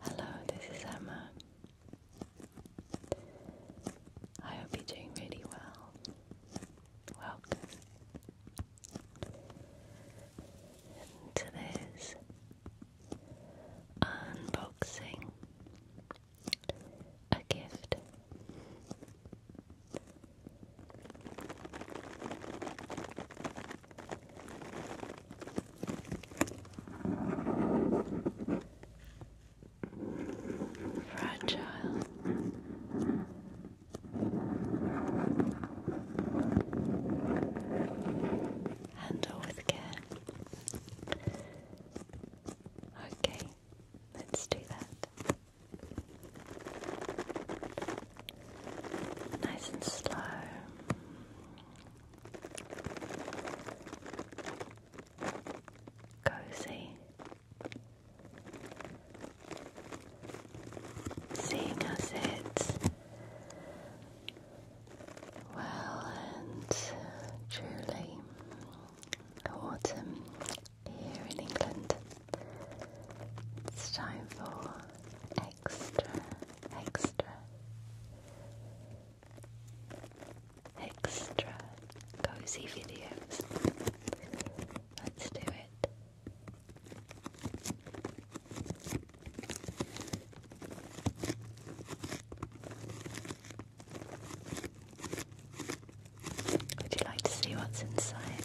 Hello, this is Emma. I hope you're doing really well. Welcome to this unboxing a gift. Fragile. Handle with care. Okay, let's do that. Nice and slow. Cozy. Seeing us it well and truly autumn here in England. It's time for extra, extra, extra cozy videos. Let's do it. Would you like to see what's inside?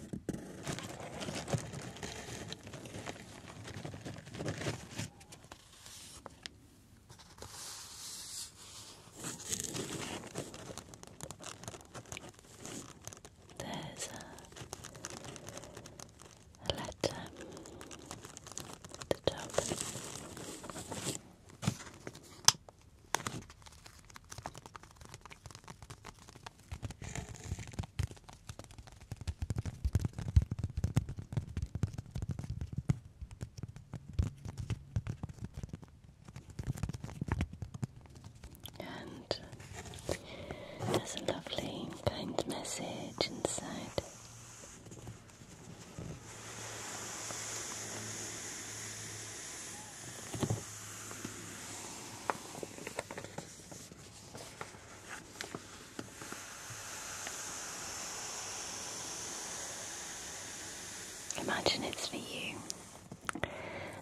There's a, letter at the and there's a lovely kind message inside. Imagine it's for you,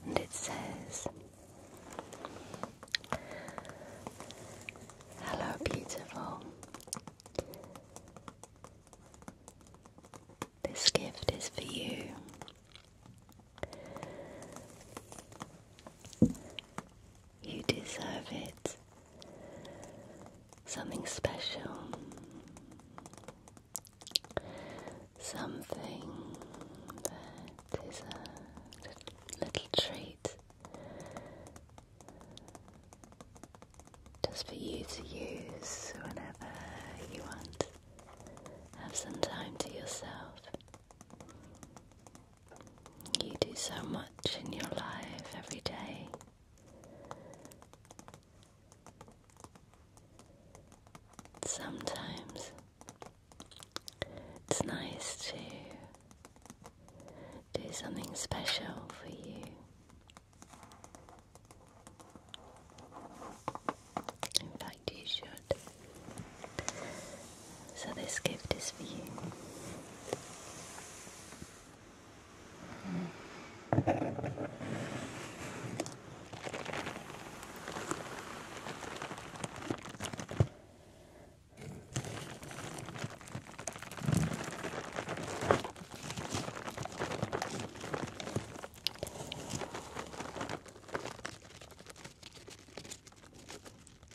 and it says, Hello, beautiful. This gift is for you. You deserve it. Something special. Something that is a little treat just for you to use whenever you want. Have some time to yourself. You do so much in your life every day. Sometimes it's nice to do something special for you. In fact, you should. So, this gift is for you.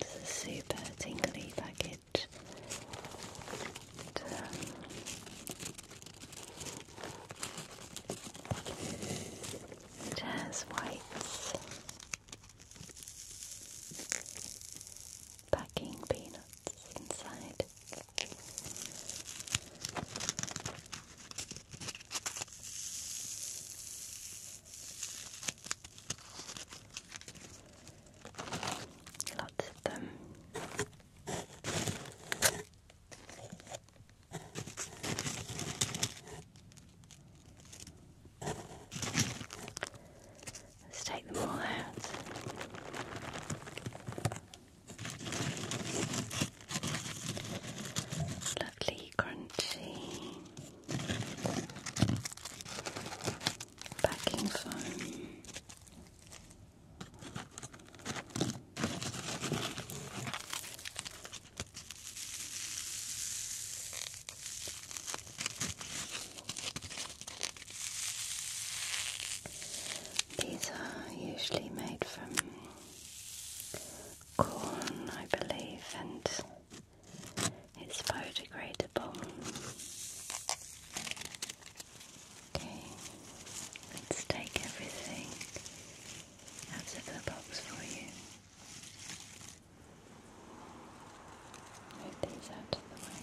It's a super tingly package. it has white packing peanuts inside. Lots of them. Let's take them all out. Lovely crunchy backing foam. These are usually made from corn, I believe, and it's biodegradable. Okay, let's take everything out of the box for you. Move these out of the way.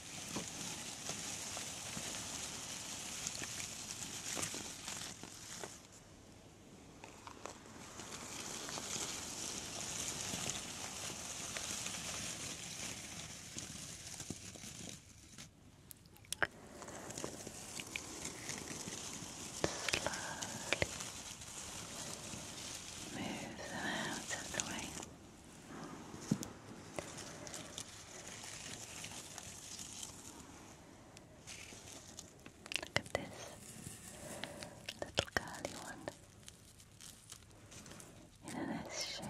Slowly move them out of the way. Look at this little curly one in an S shape.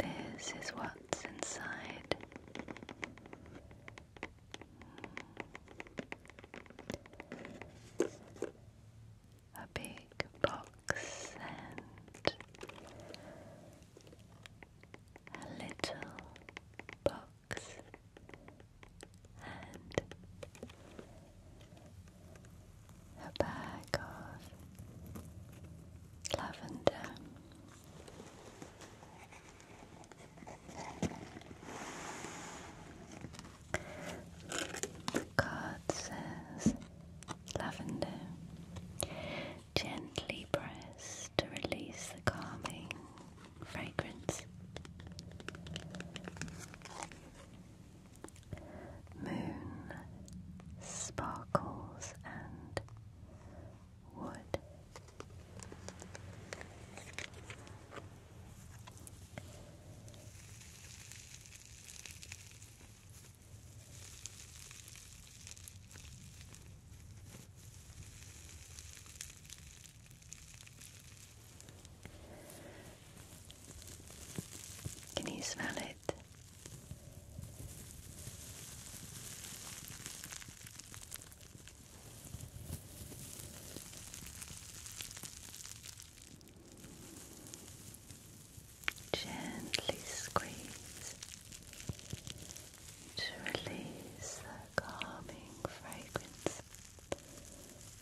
And this is what's inside. A big box and a little box and a bag of lavender. The card says lavender Gently press to release the calming fragrance. Moon sparkles and wood. Can you smell it? Gently squeeze to release the calming fragrance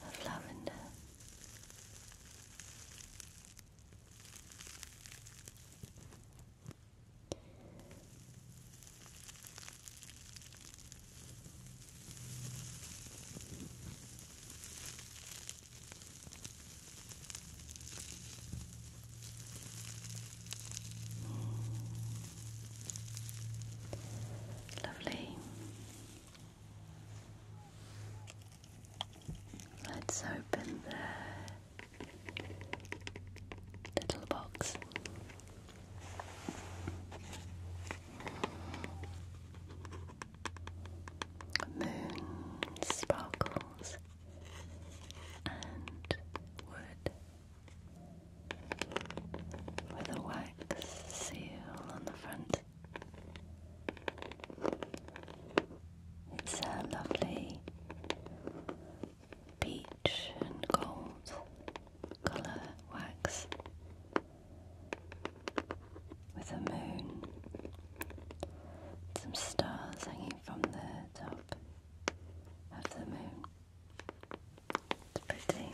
of lavender. Lovely. Let's open the little box. Moon sparkles and wood with a wax seal on the front. It's a lovely peach and gold colour wax with a moon, some stars hanging from the top of the moon. It's pretty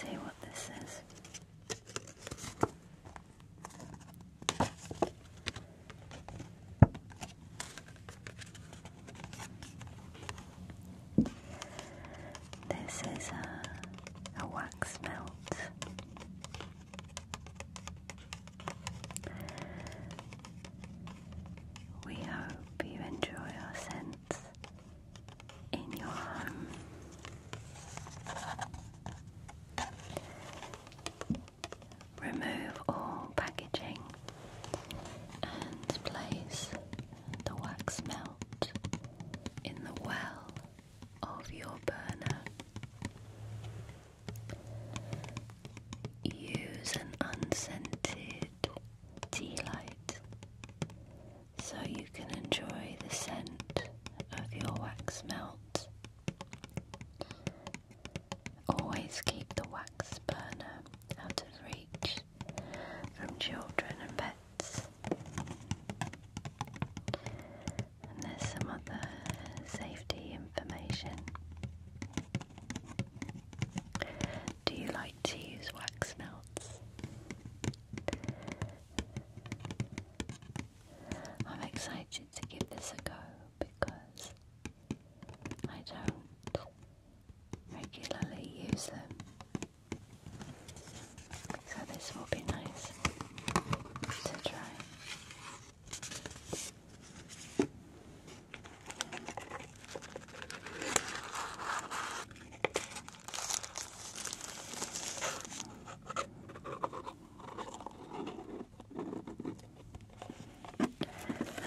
see what this is. This is a, a wax melt. We hope you enjoy our scents in your home. Remove all packaging and place the wax melt in the well of your burner. Use an unscented tea light so you can enjoy the scent of your wax melt. Always keep the wax burner out of reach from children and pets and there's some other safety information. Do you like to use wax melts? I'm excited to give this a go because I don't regularly use them. So this will be nice to try.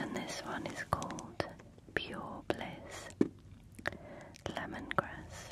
And this one is called Pure Bliss Lemongrass.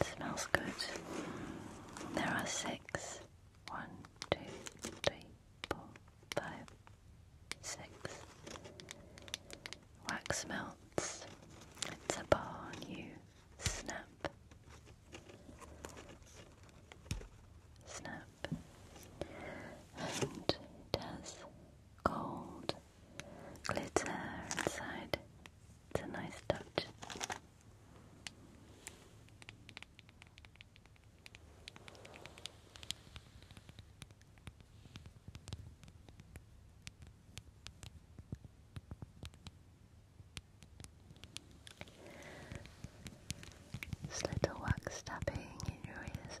It smells good. There are six. One, two, three, four, five, six. Wax melts. It's a bar. you. Snap. Snap. And it has gold glitter inside. It's a nice touch. This little wax tapping in your ears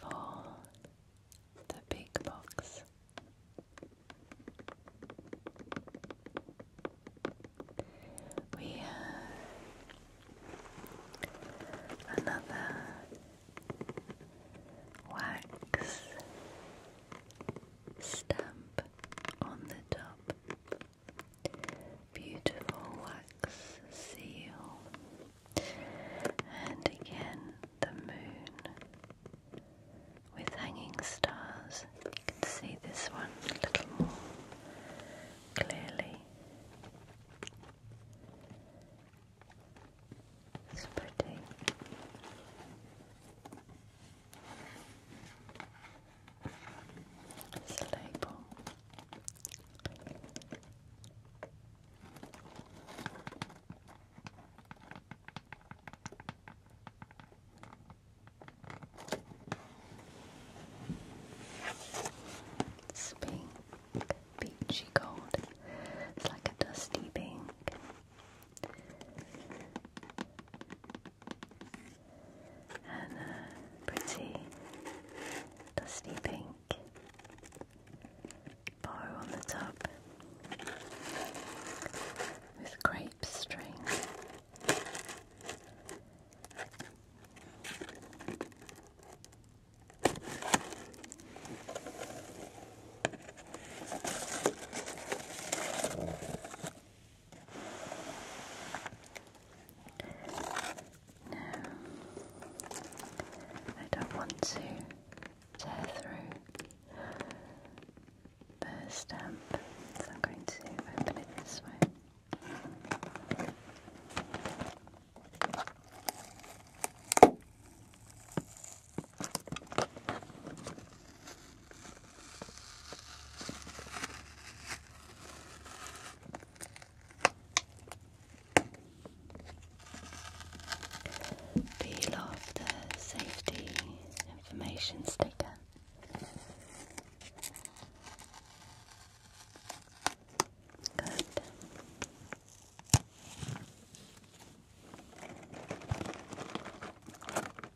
So, for the big box, we have another wax stamp on the top. Beautiful wax seal. And again, the moon with hanging stars. You can see this one a little more clearly. It's pretty. It's a label. It's pink, peachy gold. It's like a dusty pink and a pretty dusty pink bar on the top with grape string. No, I don't want to tear through the stamp, so I'm going to open it this way. Peel off the safety information sticker. Good.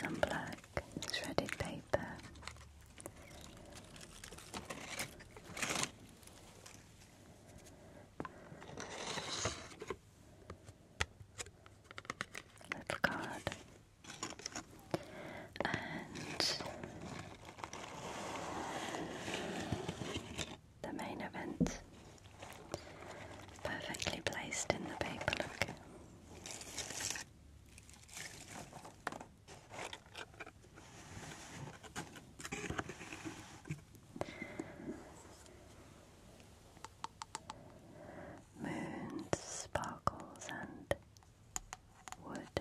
Some black shredded paper. Little card and the main event perfectly placed in the paper look moons, sparkles, and wood.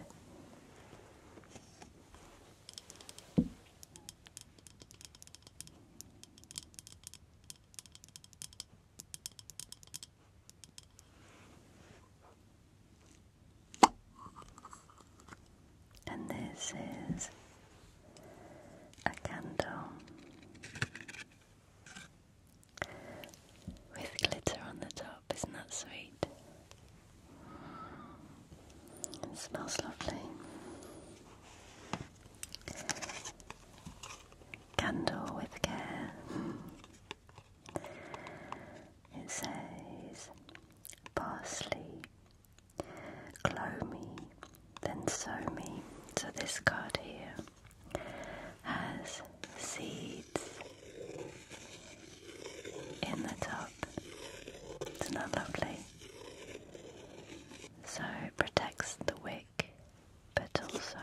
And this is a candle with glitter on the top. Isn't that sweet? It smells lovely. Candle with care. It says parsley, glow me, then sow me. So this card here has seeds in the top. Isn't lovely? So it protects the wick, but also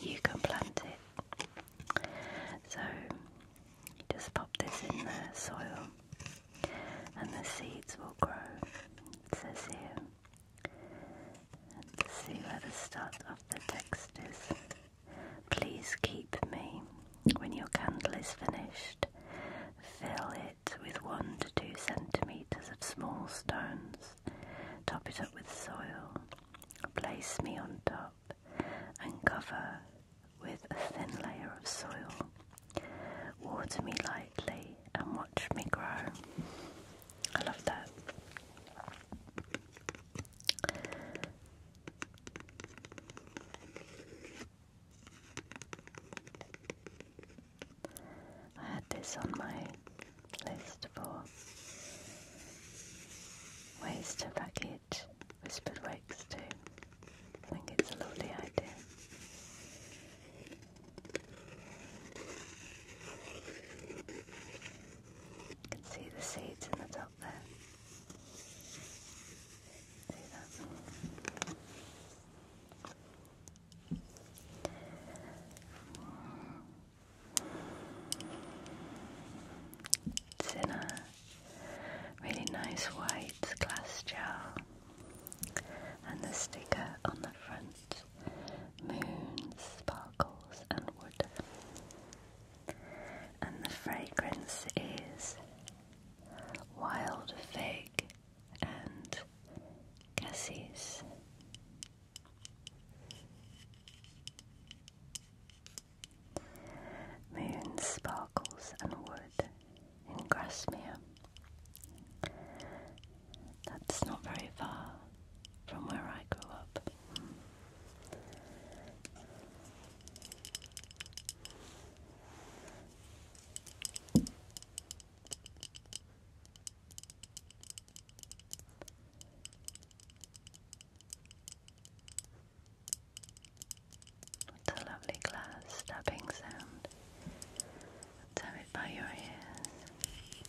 you can plant it. So just pop this in the soil and the seeds will grow. says here. Let's see where the start of the text is. Please keep me when your candle is finished. Fill it with one to two centimetres of small stones. Top it up with soil. Place me on top and cover with a thin layer of soil. Water me lightly and watch me grow. I love that. I had this on my list for ways to package whispered wakes too. I think it's a lovely idea. You can see the seeds in the top there. It's in a really nice white glass jar, and the sticker on the front stars, moons, sparkles, and wood. And the fragrance is wild fig and cassis. Moon sparkles and wood in Grasmere. That's not very far from where I grew up. What a lovely glass stabbing sound. Tell it by your ears.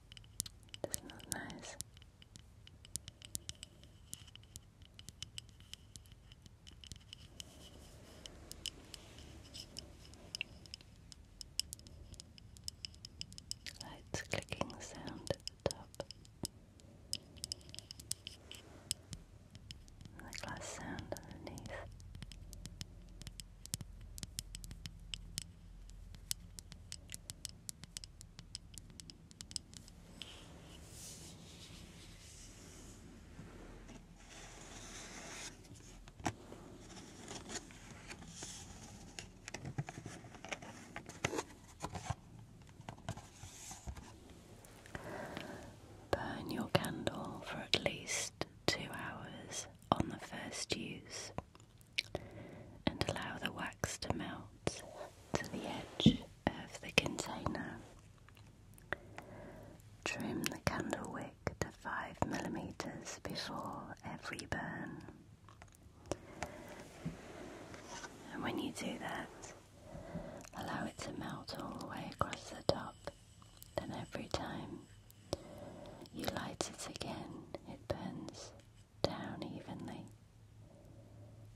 It not nice. Lights clicking sound at the top. the glass sound underneath. Burn your candle for at least two hours on the first use and allow the wax to melt to the edge of the container. Trim the candle wick to 5 mm before every burn. And when you do that, allow it to melt all the way across the top, then every time you light it again, it burns down evenly,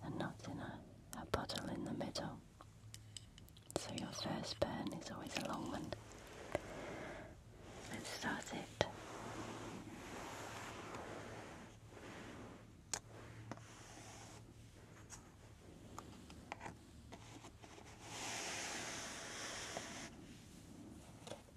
and not in a, a puddle in the middle. So your first burn is always a long one. Let's start it.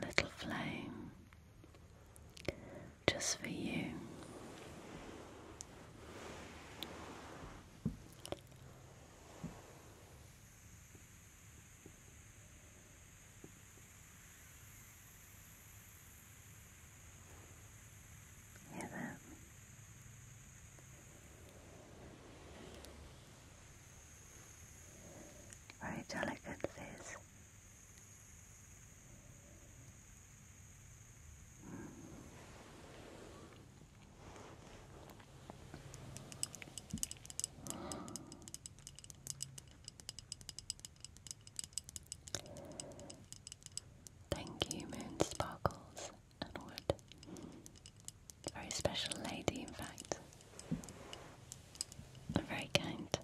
There. little flame just for you. Hear Very delicate this Thank you, Moon Sparkles and Wood. Very special lady, in fact. Very kind.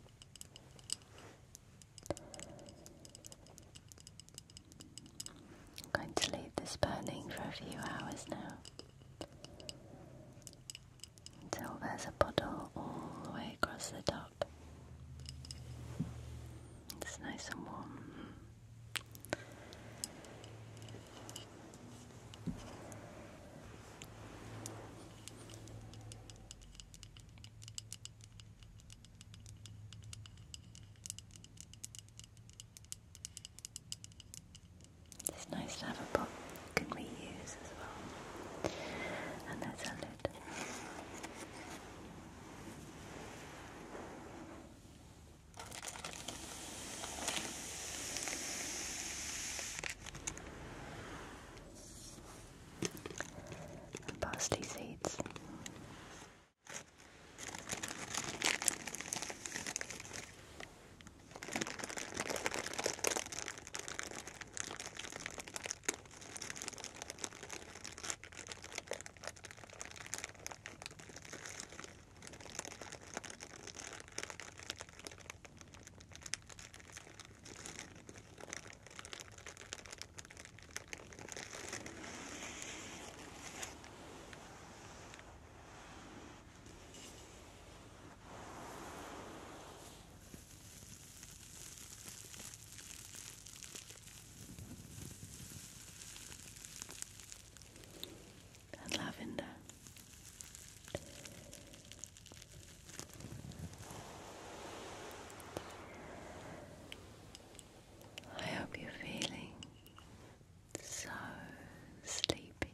I'm going to leave this burning for a few hours now until there's a puddle all the way across the top. It's nice and warm. It's nice to have a pot you can reuse as well. And there's a lid and parsley seeds and lavender I hope you're feeling so sleepy,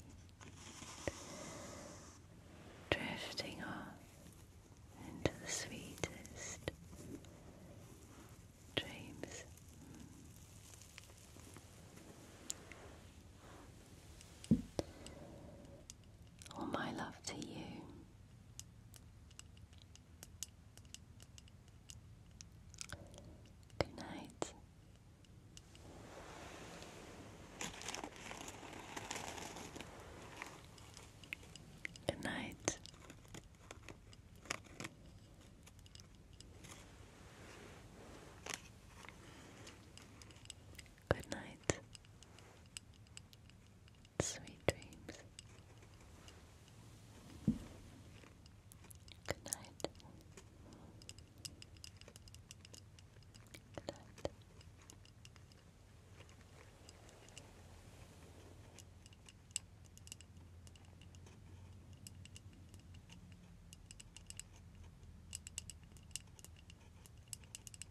drifting off into the sweetest dreams all my love to you. Good night. Good night. Good night. Sweet dreams. Good night. Good night.